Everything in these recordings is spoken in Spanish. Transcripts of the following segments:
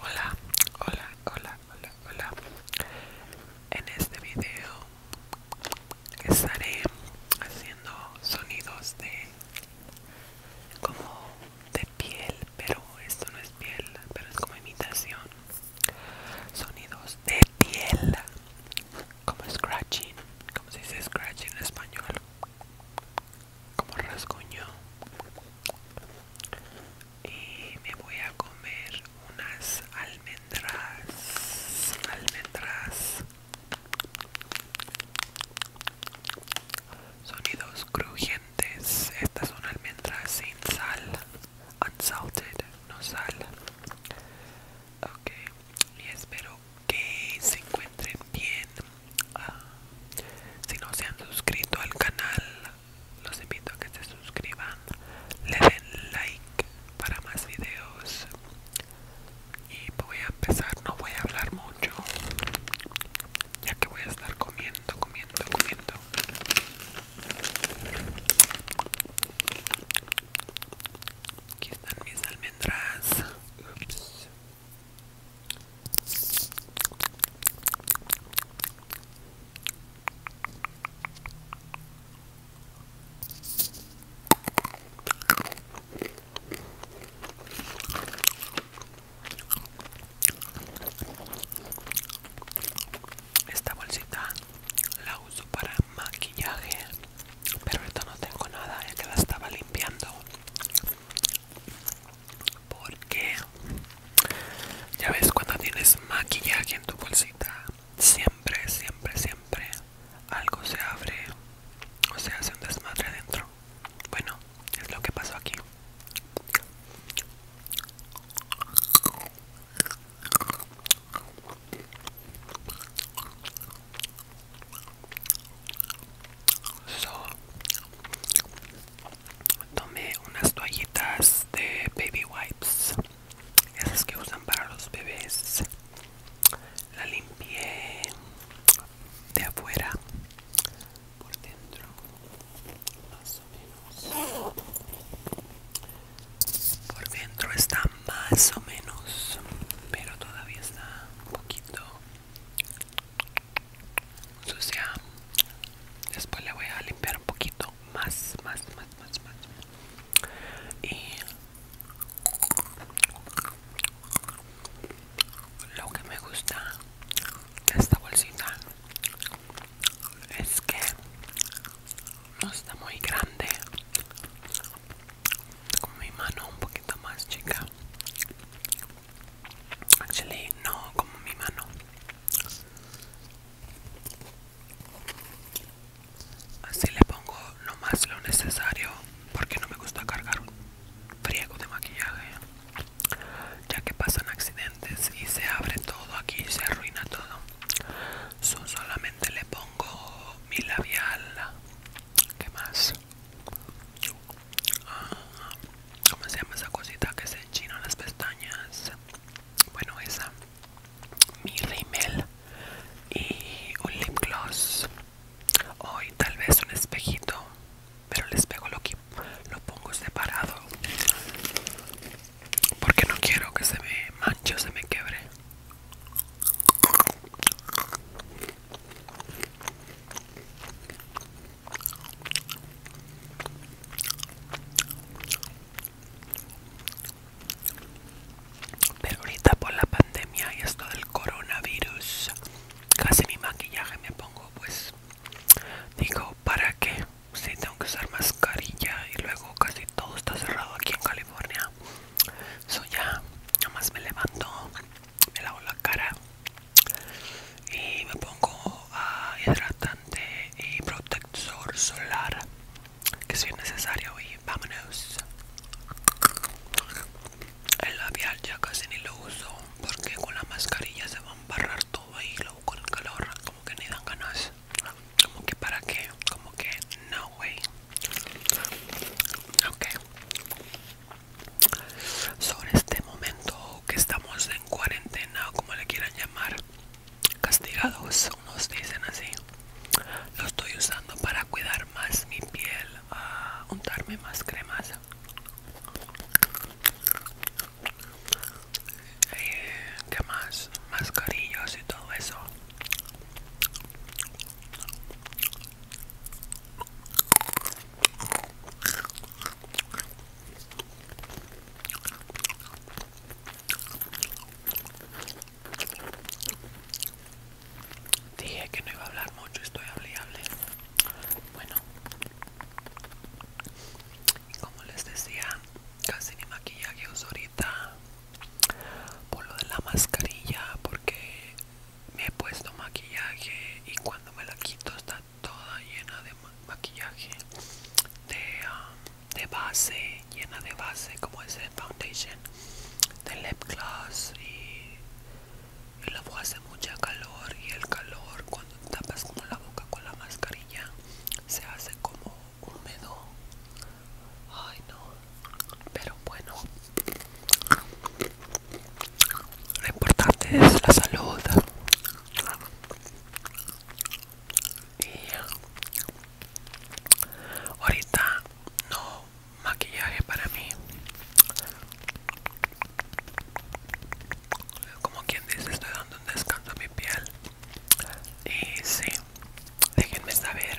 Hola, hola, hola, hola, hola. En este video estaré haciendo sonidos de como de piel, pero esto no es piel, pero es como imitación. Sonidos de piel, como scratching, como se dice scratching en español como rasguño y me voy a comer unas almendras almendras sonidos crujientes estas son almendras sin sal unsalted no sal ok y espero que se encuentren bien ah, si no se han suscrito al canal los invito a que se suscriban le den like para más videos y voy a empezar no voy a hablar mucho ya que voy a estar comiendo comiendo comiendo Aquí están mis almendras. Ups. Esta bolsita la uso para maquillaje, pero esto no tengo nada, ya que la estaba limpiando porque ya ves cuando tienes maquillaje en tu bolsita siempre siempre siempre algo se abre o se hace un desmadre adentro bueno es lo que pasó aquí So, tomé unas toallitas de baby wipes, esas que usan para los bebés. La limpié de afuera por dentro, más o menos. Por dentro está más o menos, pero todavía está un poquito sucia después le voy a limpiar un poquito más más más más más y lo que me gusta de esta bolsita es que no está muy grande con mi mano un poquito más chica actually no como mi mano así le pongo nomás lo necesario porque no me gusta cargar un friego de maquillaje ya que pasan accidentes y se abre todo aquí se arruina todo so, solamente le pongo mi labial ¿Qué más? Ah, ¿Cómo se llama esa cosita que se enchina las pestañas? Bueno, esa. Mi rímel y un lip gloss. Hoy tal vez un espejito, pero el espejo lo, lo pongo separado. Porque no quiero que se me manche o se me quebre. Pero ahorita por la pandemia y esto del coronavirus, casi mi maquillaje me pongo pues, digo, ¿para qué? Si tengo que usar mascarilla y luego casi todo está cerrado aquí en California. Eso ya, nomás me levanto, me lavo la cara y me pongo hidratante y protector solar que si es necesario y vámonos el labial ya casi ni lo uso porque con la mascarilla se va a embarrar todo y luego con el calor como que ni dan ganas como que para qué como que no way ok sobre este momento que estamos en cuarentena o como le quieran llamar castigados unos dicen así lo estoy usando para cuidar más mi piel a ah, untarme más cremas Y eh, más mascarillos y todo eso Dije que no iba a hablar mucho, estoy hablando. Bueno, como les decía, casi ni maquillaje uso ahorita por lo de la mascarilla porque me he puesto maquillaje y cuando me la quito está toda llena de maquillaje um, de, base llena de base como es el foundation de lip gloss y, la luego hace mucha calor y el calor cuando tapas como la boca con la mascarilla se hace como húmedo Ay, no. Pero bueno. Lo importante es la salud. Y ahorita no maquillaje para mí. Como quien dice, estoy dando un descanso a mi piel. Y sí, déjenme saber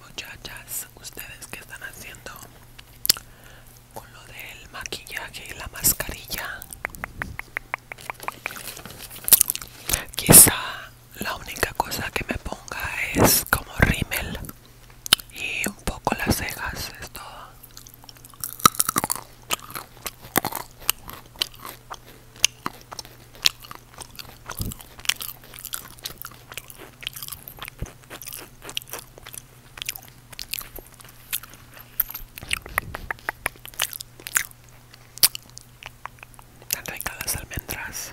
Muchachas, ¿ustedes que están haciendo con lo del maquillaje y la mascarilla? Quizá la única cosa que me ponga es como rímel y un poco las cejas, es todo. Tan ricas las almendras.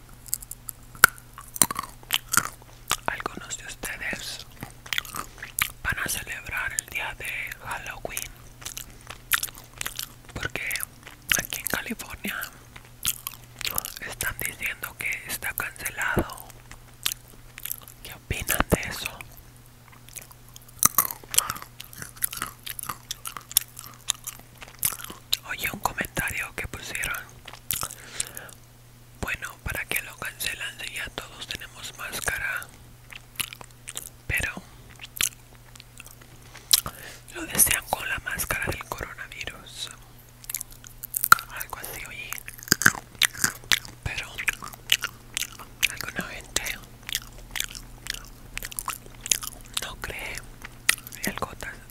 Algunos de ustedes van a celebrar el día de Halloween porque aquí en California están diciendo que está cancelado. ¿Qué opinan de eso? Oye, un comentario que pusieron. Bueno, para que lo cancelan ya todos tenemos máscara. Pero lo desean con la máscara del coronavirus. Algo así, oye. Pero alguna gente no cree.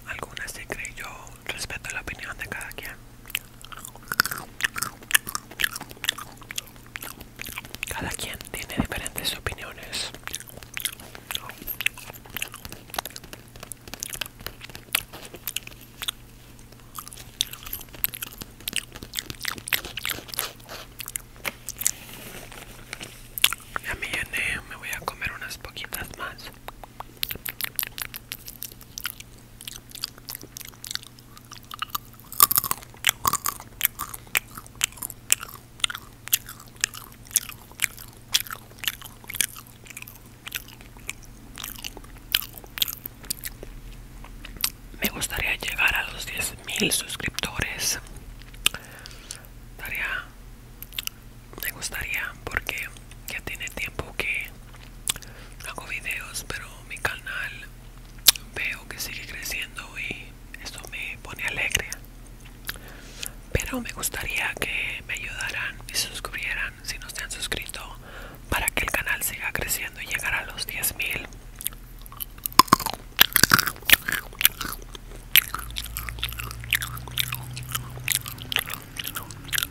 Algunas se creyó respeto la opinión de cada quien. Cada quien tiene diferentes opiniones. Ya me llené, me voy a comer unas poquitas más. Me gustaría llegar a los 10.000 suscriptores me gustaría porque ya tiene tiempo que hago videos pero mi canal veo que sigue creciendo y esto me pone alegre pero me gustaría que me ayudaran y se suscribieran si no se han suscrito para que el canal siga creciendo y llegar a los 10.000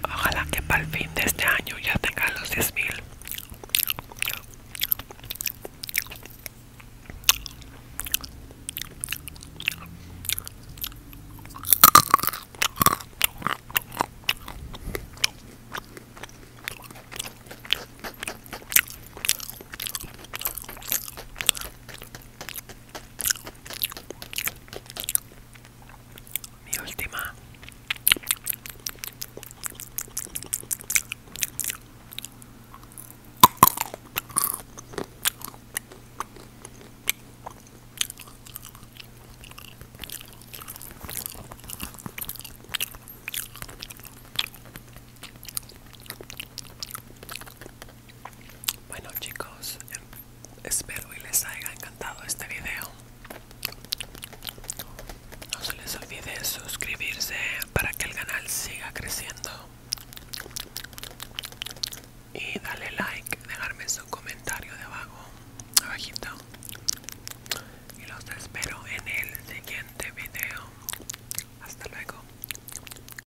Ojalá que para el fin de este año ya tenga los 10.000. Mi última. Bueno chicos, espero y les haya encantado este video. No se les olvide suscribirse para que el canal siga creciendo. Y darle like, dejarme su comentario debajo, abajito. Y los espero en el siguiente video. Hasta luego.